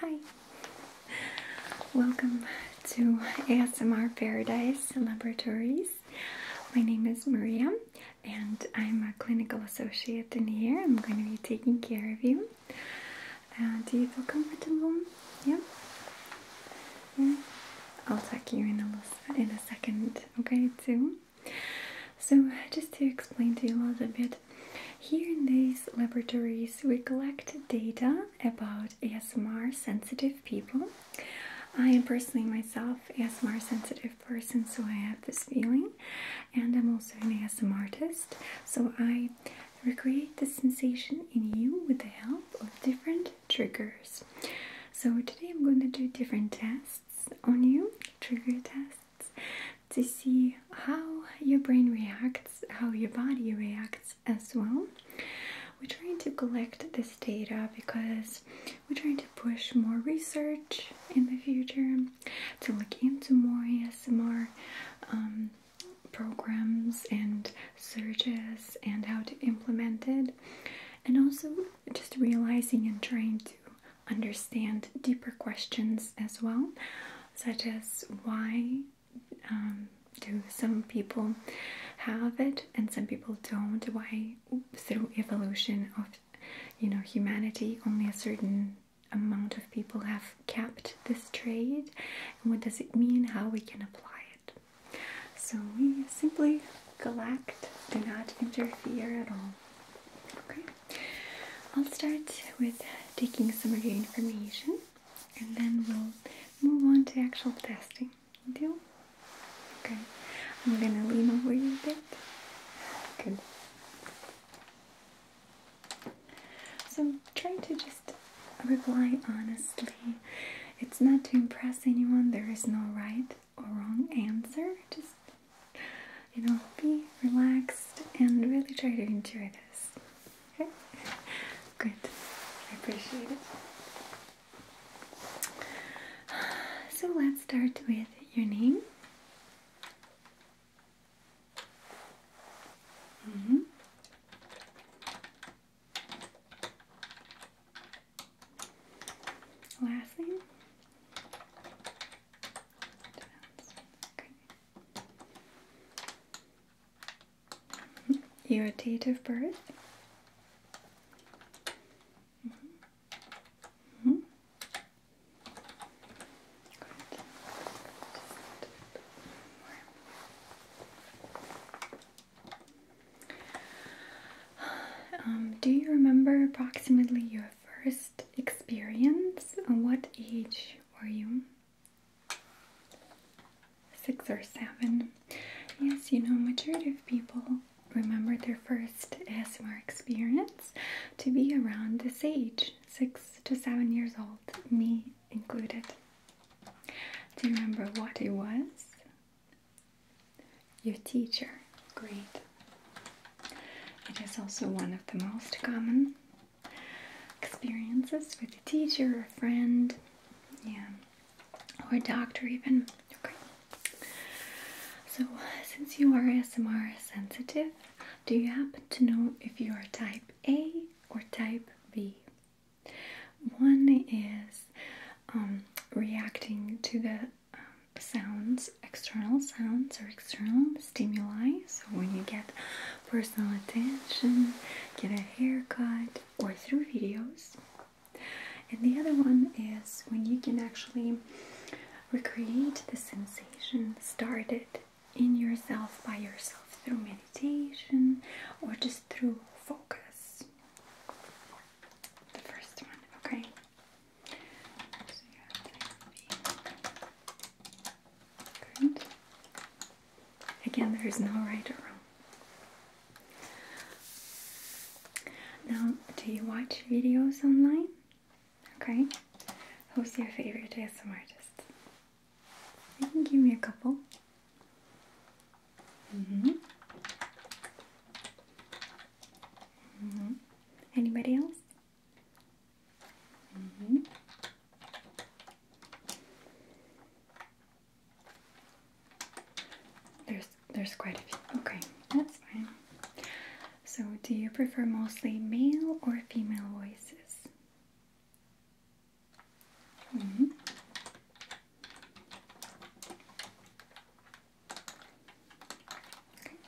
Hi, welcome to ASMR Paradise Laboratories. My name is Maria and I'm a clinical associate in here. I'm going to be taking care of you. Uh, do you feel comfortable? Yeah? I'll tuck you in a, in a second, okay, too? So, just to explain to you a little bit, here in these laboratories we collect data about ASMR sensitive people. I am personally myself ASMR sensitive person, so I have this feeling, and I'm also an ASMR artist, so I recreate the sensation in you with the help of different triggers. So today I'm going to do different tests on you, trigger tests, to see how your brain reacts, how your body reacts as well. We're trying to collect this data because we're trying to push more research in the future, to look into more ASMR um, programs and searches and how to implement it, and also just realizing and trying to understand deeper questions as well, such as why um, do some people have it and some people don't? Why, through evolution of you know humanity, only a certain amount of people have capped this trade, and what does it mean? How we can apply it? So we simply Galact do not interfere at all. Okay, I'll start with taking some of your information and then we'll move on to actual testing. Deal? Okay, I'm gonna lean over you a bit. Good. So trying to just reply honestly. It's not to impress anyone, there is no right or wrong answer. Just, you know, be relaxed and really try to enjoy this. Okay? Good. I appreciate it. So let's start with your name. Mm -hmm. Last okay. irritative birth. Mm -hmm. Um, do you remember approximately your first experience? At uh, what age were you? Six or seven. Yes, you know, majority of people remember their first ASMR experience to be around this age, six to seven years old, me included. Do you remember what it was? Your teacher. Great. It is also one of the most common experiences with a teacher, a friend, yeah, or a doctor, even. Okay. So, since you are SMR sensitive, do you happen to know if you are type A or type B? One is um, reacting to the um, sounds, external sounds, or external stimuli. So, when you get personal attention, get a haircut, or through videos. And the other one is when you can actually recreate the sensation started in yourself by yourself through meditation or just through focus. The first one, okay? Again, there is no right or wrong. Now, do you watch videos online? Okay. Who's your favorite ASMR artist? You can give me a couple. Mm-hmm. Mm-hmm. Anybody else? Mm-hmm. There's there's quite a few. Okay, that's fine. So, do you prefer mostly male or female voices? Mm-hmm.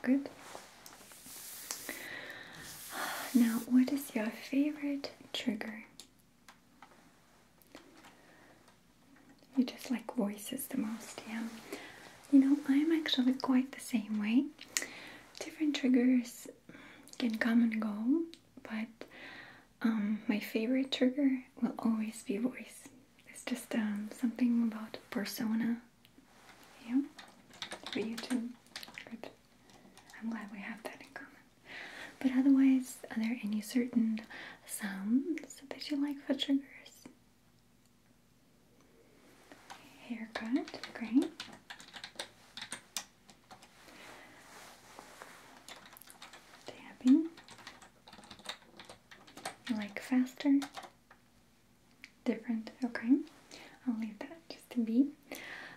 Good. Now, what is your favorite trigger? You just like voices the most, yeah. You know, I'm actually quite the same way. Different triggers can come and go, but um, my favorite trigger will always be voice. It's just um, something about persona yeah? For you Good. I'm glad we have that in common. But otherwise, are there any certain sounds that you like for sugars? Haircut, great. Tapping. You like faster? Different, okay. I'll leave that just to be.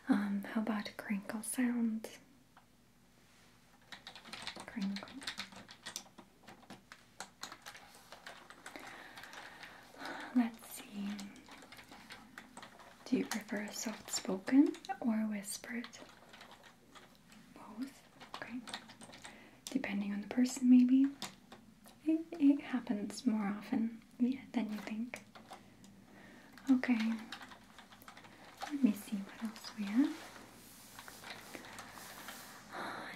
Um, how about crinkle sounds? Crinkle. Let's see. Do you prefer soft spoken or whispered? Both, okay. Depending on the person, maybe it, happens more often than you think. Okay, let me see what else we have.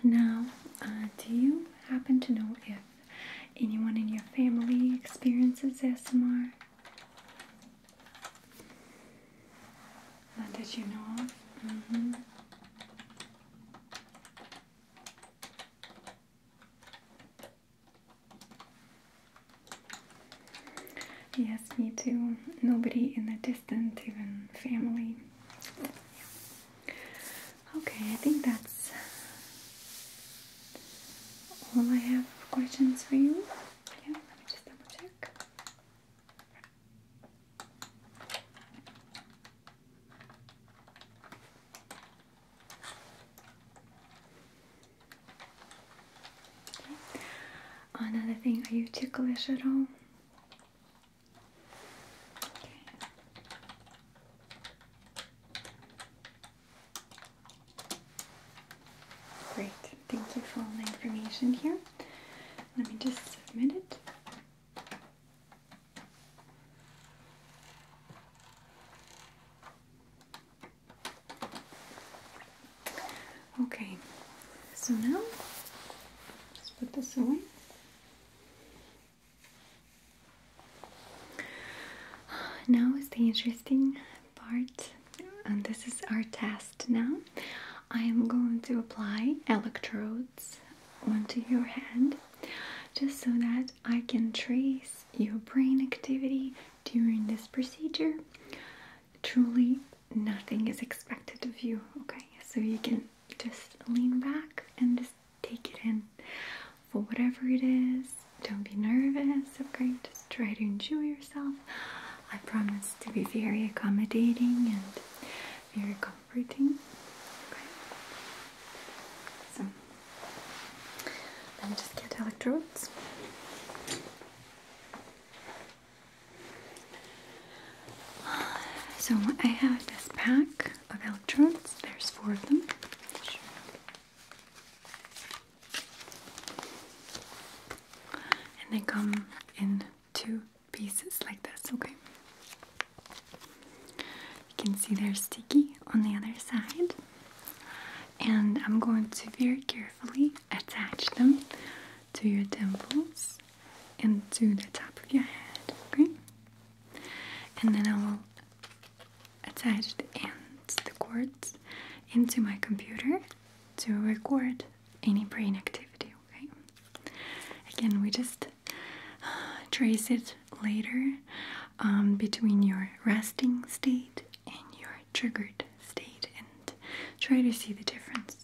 Now, uh, do you happen to know if anyone in your family experiences ASMR? Not that you know of. Mm-hmm. Yes, me too. Nobody in the distant, even family. Okay, I think that's all I have questions for you. Yeah, let me just double check. Another thing, are you ticklish at all? Great, thank you for all the information here. Let me just submit it. Okay, so now let's put this away. Now is the interesting part, and this is our test now. I am going to apply electrodes onto your hand just so that I can trace your brain activity during this procedure. Truly, nothing is expected of you, okay? So you can just lean back and just take it in for whatever it is. Don't be nervous, okay? Just try to enjoy yourself. I promise to be very accommodating and very comfortable let me just get electrodes. So I have this pack of electrodes. There's four of them. And they come in two pieces like this, okay? You can see they're sticky on the other side. And I'm going to very carefully attach them to your temples and to the top of your head, okay? And then I will attach the ends, the cords, into my computer to record any brain activity, okay? Again, we just uh, trace it later um, between your resting state and your triggered state and try to see the difference.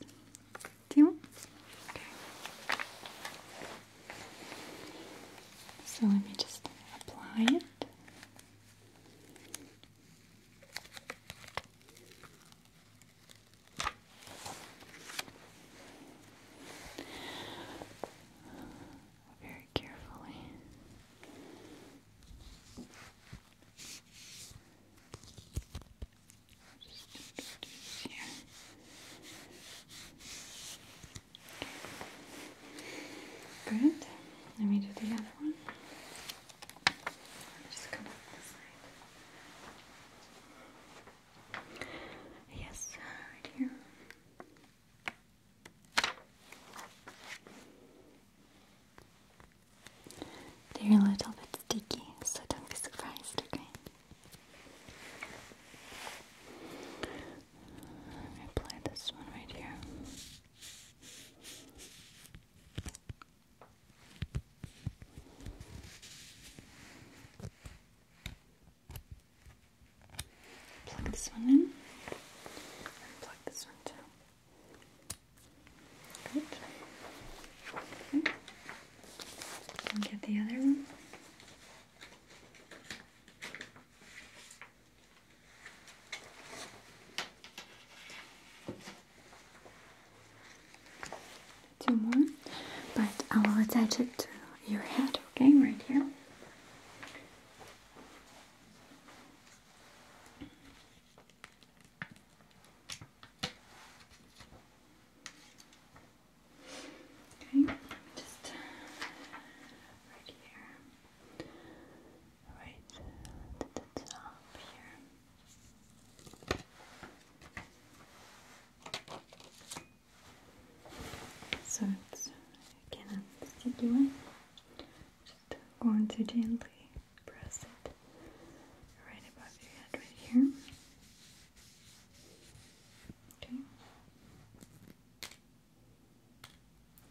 Deal? Okay. So let me just apply it very carefully. Just here. Good. Let me do the other one. Just come this side. Yes, right here. They're a little bit sticky, so don't be surprised, okay? apply this one right here. Plug this one in and plug this one too. Good. Okay. get the other one. Two more, but I will attach it to your head, okay, right here. Okay, just uh, right here, right uh, to here. So it's again sticky one. Just going to gently press it right above your head right here. Okay.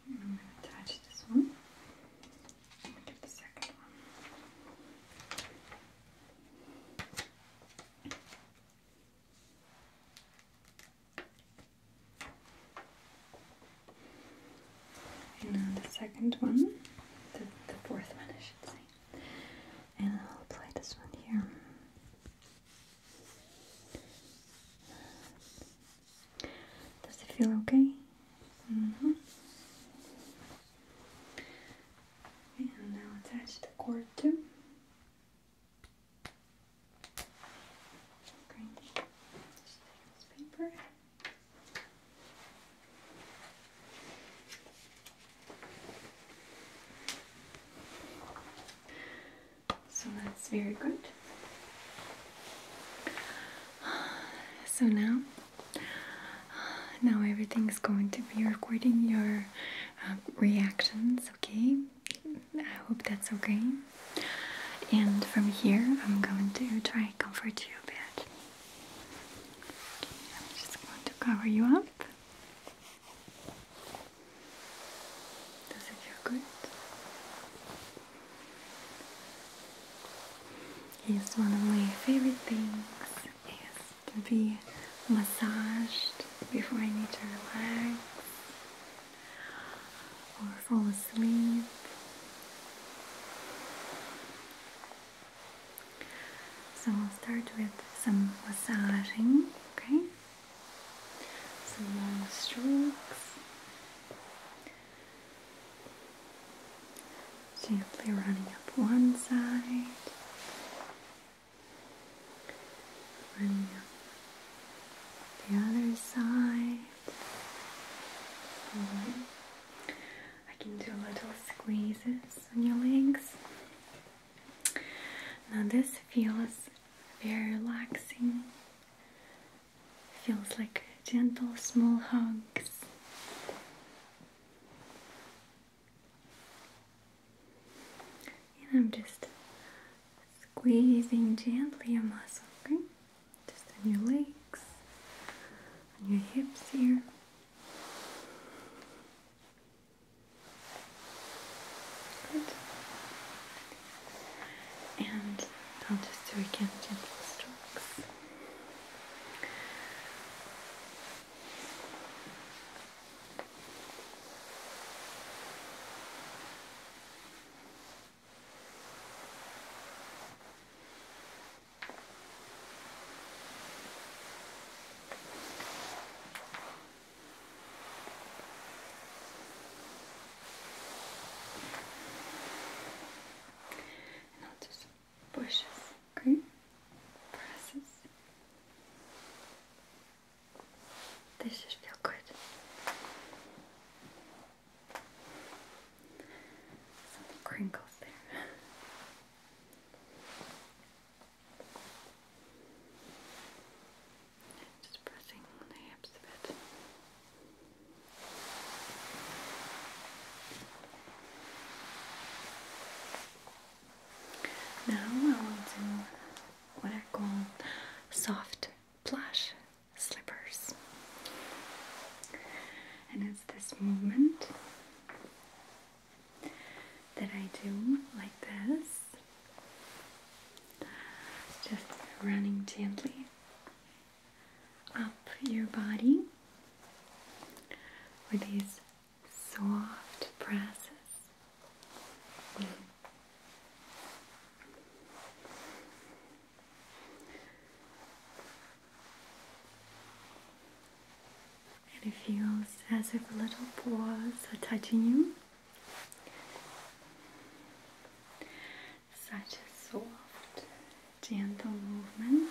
I'm going to touch this one. I'm going the second one. And the second one, the, fourth one, I should say. And I'll apply this one here. Does it feel okay? Mm-hmm. And now attach the cord too. So that's very good. So now, now everything's going to be recording your uh, reactions, okay? I hope that's okay. And from here, I'm going to try comfort you a bit. I'm just going to cover you up. Does it feel good? Yes, one of my favorite things is to be massaged before I need to relax or fall asleep. So I'll start with some massaging, okay? Some long strokes. simply running up one side Bring the other side. I can do little squeezes on your legs. Now this feels very relaxing. Feels like gentle small hugs. And I'm just squeezing gently your muscle, okay? Just on your legs, on your hips here. Good. And I'll just do again gentle strokes. And I'll just push this, okay? Presses. This just feels good. Something crinkles there. Just pressing the hips a bit. Now I will do what I call soft plush slippers. And it's this movement that I do like this, just running gently up your body with these soft presses. And it feels as if little paws are touching you. Such a soft, gentle movement.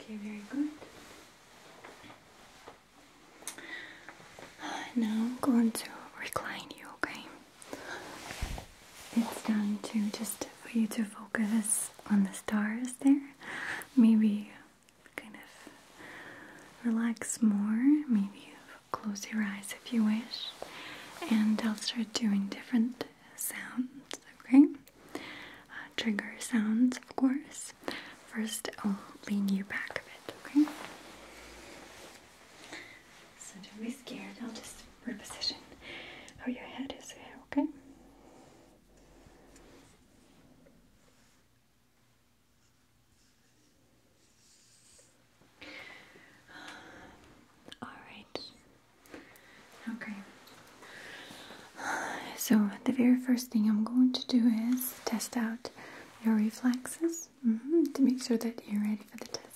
Okay, very good. Uh, now I'm going to recline you, okay? it's done to just for you to focus on the stars there. Maybe kind of relax more. Maybe close your eyes if you wish. And I'll start doing different sounds, okay? Uh, trigger sounds, of course. First, I'll lean you back a bit, okay? So don't be scared, I'll just reposition how oh, your head is here, okay? All right. Okay. So, the very first thing I'm going to do is test out your reflexes mm-hmm. to make sure that you're ready for the test.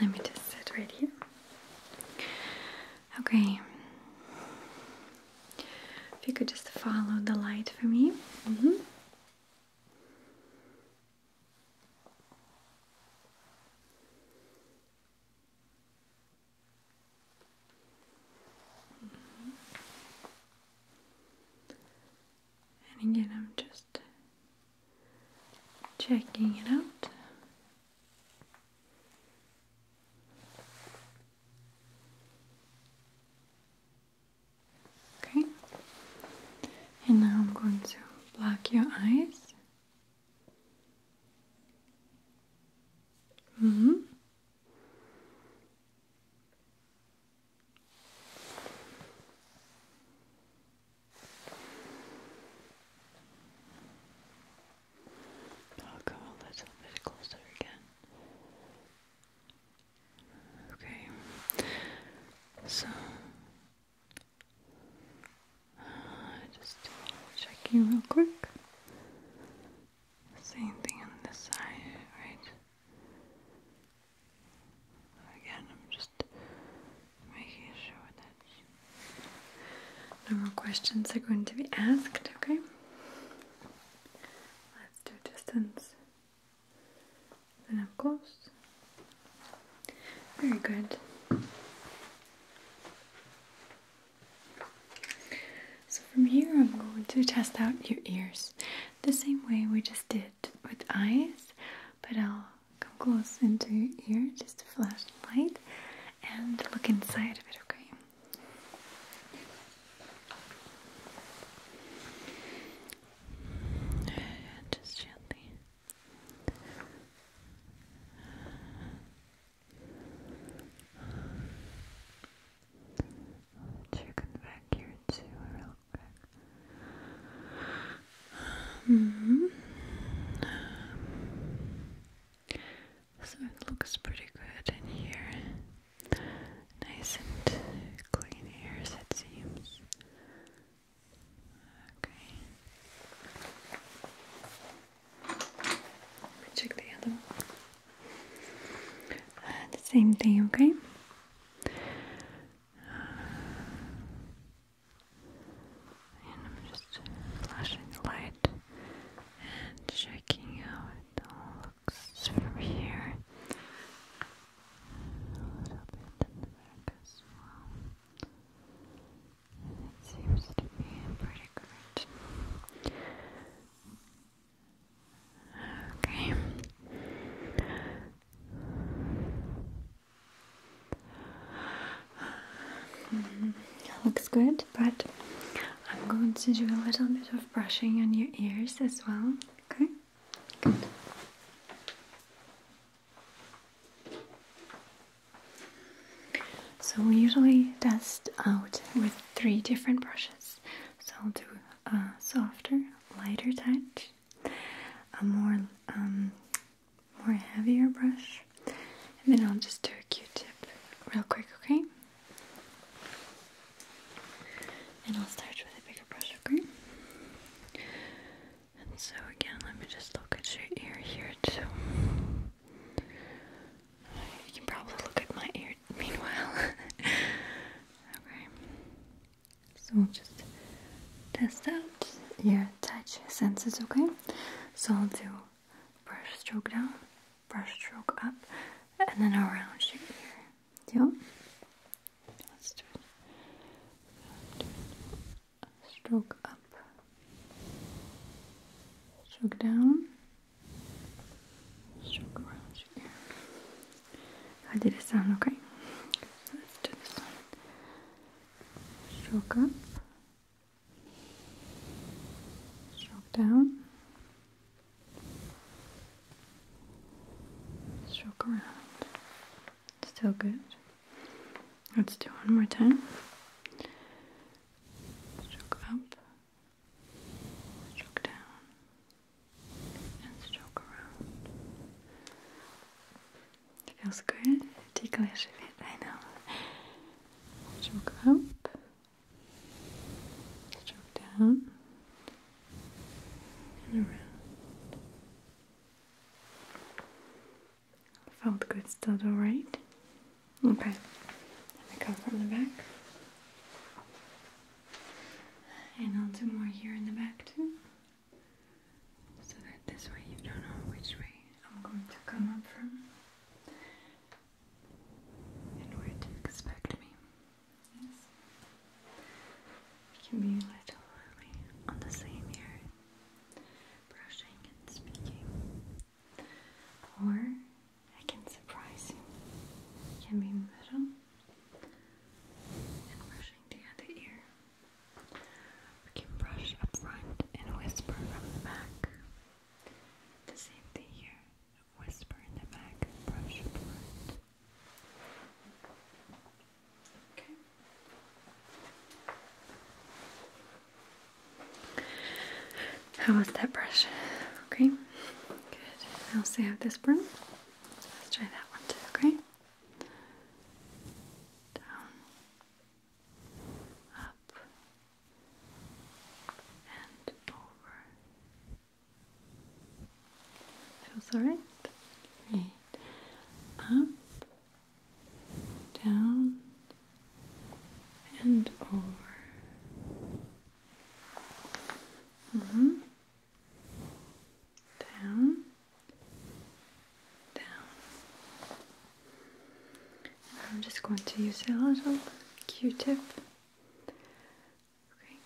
Let me just sit right here. Okay. If you could just follow the light for me. Mm-hmm. Mm-hmm. And again, I'm just checking it out. Okay, and now I'm going to block your eyes. Mm hmm. Oh, I'll go a little closer again. Okay, so uh, just checking real quick. Same thing on this side, right? Again, I'm just making sure that no more questions are going to be asked, okay? Let's do distance. Then up close. Very good. So from here I'm going to test out your ears the same way we just did with eyes, but I'll come close into your ear, just a flashlight, and look inside of it, okay? Just gently. Checking back here too, real Hmm. So it looks pretty good in here. Nice and clean ears, it seems. Okay. Let me check the other one. Uh, the same thing, okay? And I'm just flashing the light and checking out it looks from here. A little bit in the back as well. It seems to be pretty good. Okay. Mm, looks good, but I'm going to do a little bit of brushing on your ears as well. Okay? Good. So we usually dust out with three different brushes. So I'll do a softer, lighter touch, a more um, more heavier brush and then I'll just do a q-tip real quick, okay? And I'll start with a bigger brush, okay? And so again, let me just look at your ear here too. You can probably look at my ear meanwhile. okay. So we'll just test out your touch senses, okay? So I'll do brush stroke down, brush stroke up, and then around your ear. Yep. Let's do it. Stroke up, stroke down, stroke around your ear. I did it sound okay? Let's do this one. Stroke up, stroke down, stroke around. Still good. Let's do one more time. Stroke up, stroke down, and stroke around. Feels good. Ticklish a bit, I know. Stroke up. Stroke down. And around. Felt good, still alright? Okay. Let come from the back. And I'll do more here in the back too. So that this way you don't know which way I'm going to come up from and to expect me. Yes. We can be a little on the same ear, brushing and speaking. Or I can surprise him. It can be middle and brushing the other ear. We can brush up front and whisper from the back. The same thing here. Whisper in the back, brush Okay. How was that brush? Okay. Good. I will also have this broom. Let's try that one too, okay? Down up and over. Feels alright? Great. Up, down, and over. -hmm. Down, down, I'm just going to use a little q-tip okay,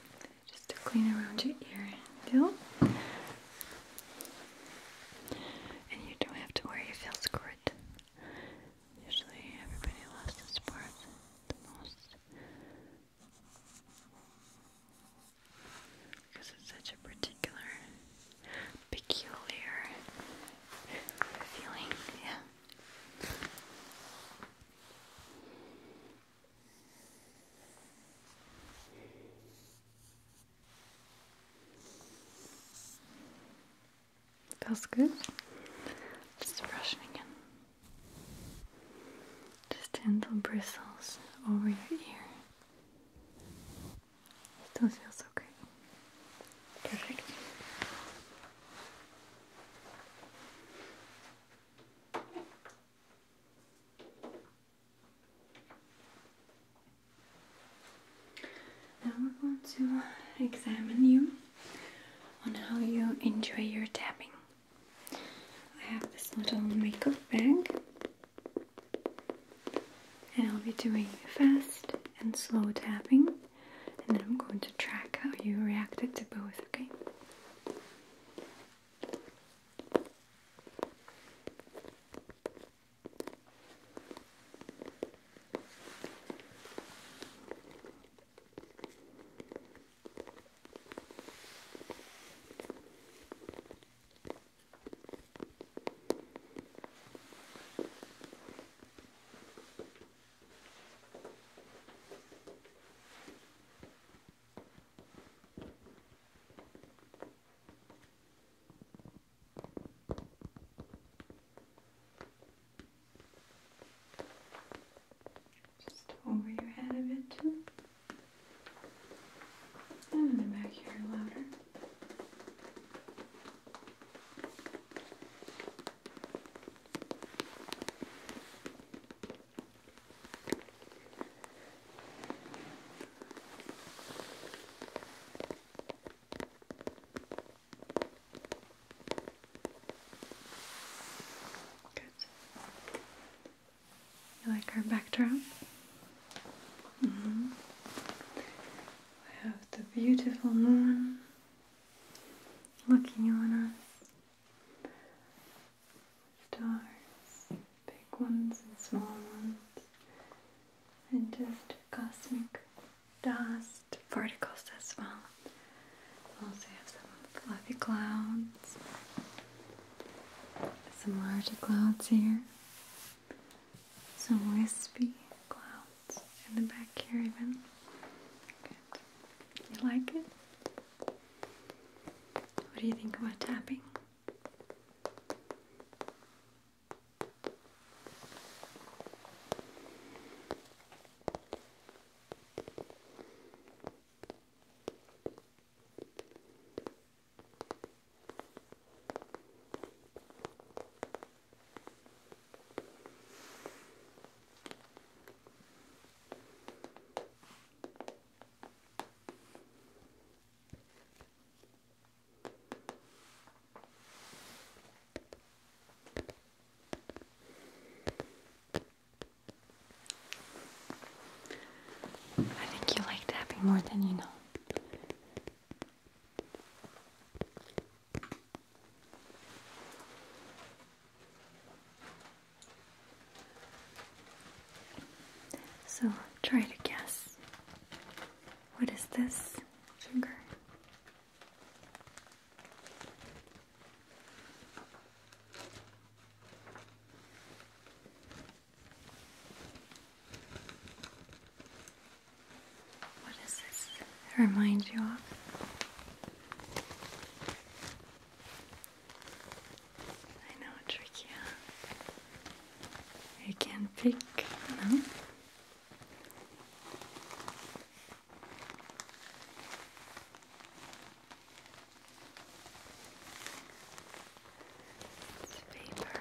just to clean around your ear and you don't have to worry if you'll usually everybody loves this part the most because it's such a particular peculiar feeling, yeah. Feels good. Just brushing again. Just gentle bristles over your ear. Still feels okay. Perfect. Now we're going to examine you on how you enjoy your tapping. I have this little makeup bag, and I'll be doing fast and slow tapping and then I'm going to track how you reacted to both, okay? Just over your head a bit too. And in the back here louder. You like our backdrop? We mm-hmm. have the beautiful moon looking on us. Stars, big ones and small ones, and just cosmic dust particles as well. Also have some fluffy clouds, some larger clouds here, some wispy clouds in the back here even. You like it? What do you think about tapping? I think you like tapping more than you know. So try to guess. What is this sugar? What does this remind you of? I know, tricky, huh? You can pick, no? It's paper.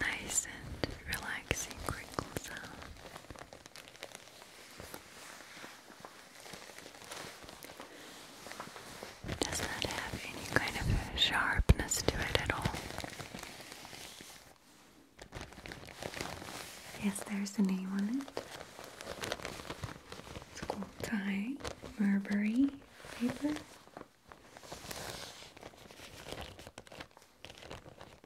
Nice and relaxing crinkle sound. does not have any kind of sharpness to it at all. Yes, there's a name on it. It's called Thai Marbury paper.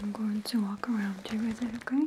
I'm going to walk around you with it, okay?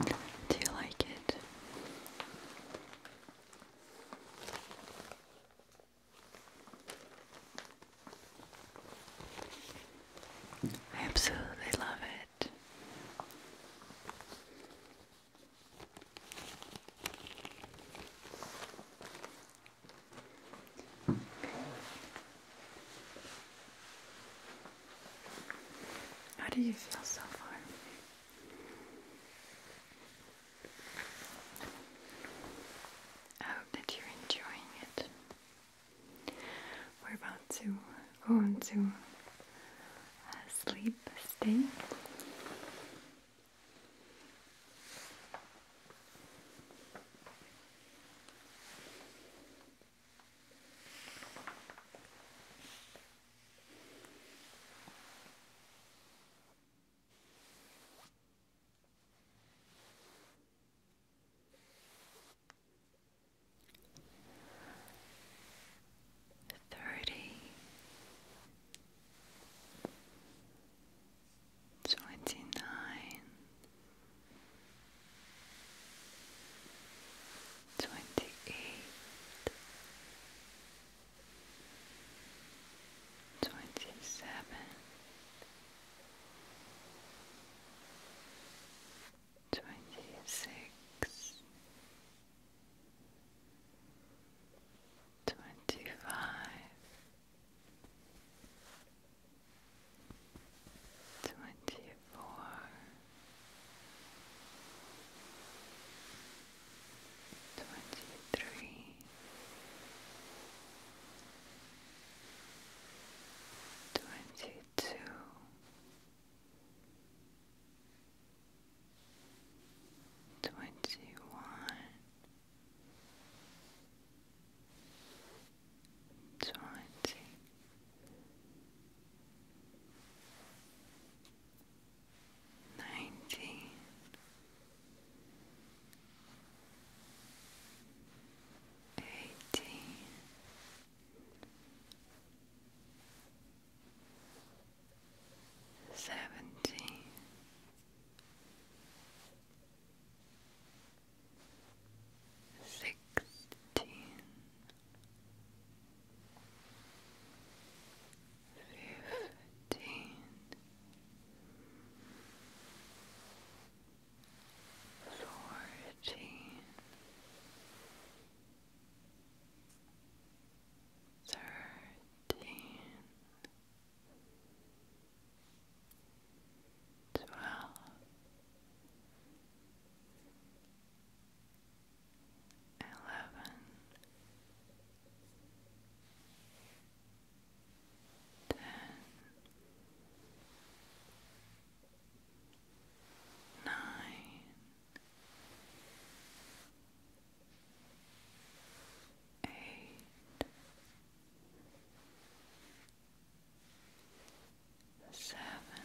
Do you like it? I absolutely love it. How do you feel so far? I hope that you're enjoying it. We're about to go on to a sleep stay. Thirty twenty nine twenty-eight, twenty-seven, twenty-six, twenty-five, twenty-four Twenty-three, twenty-two, twenty-one, twenty nineteen eighteen seventeen sixteen fifteen. Fourteen, thirteen, twelve, eleven, ten, nine, eight, seven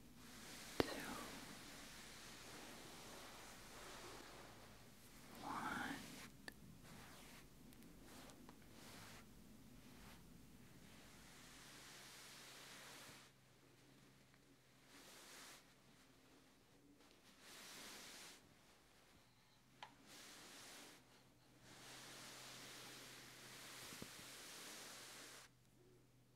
two, one. Two.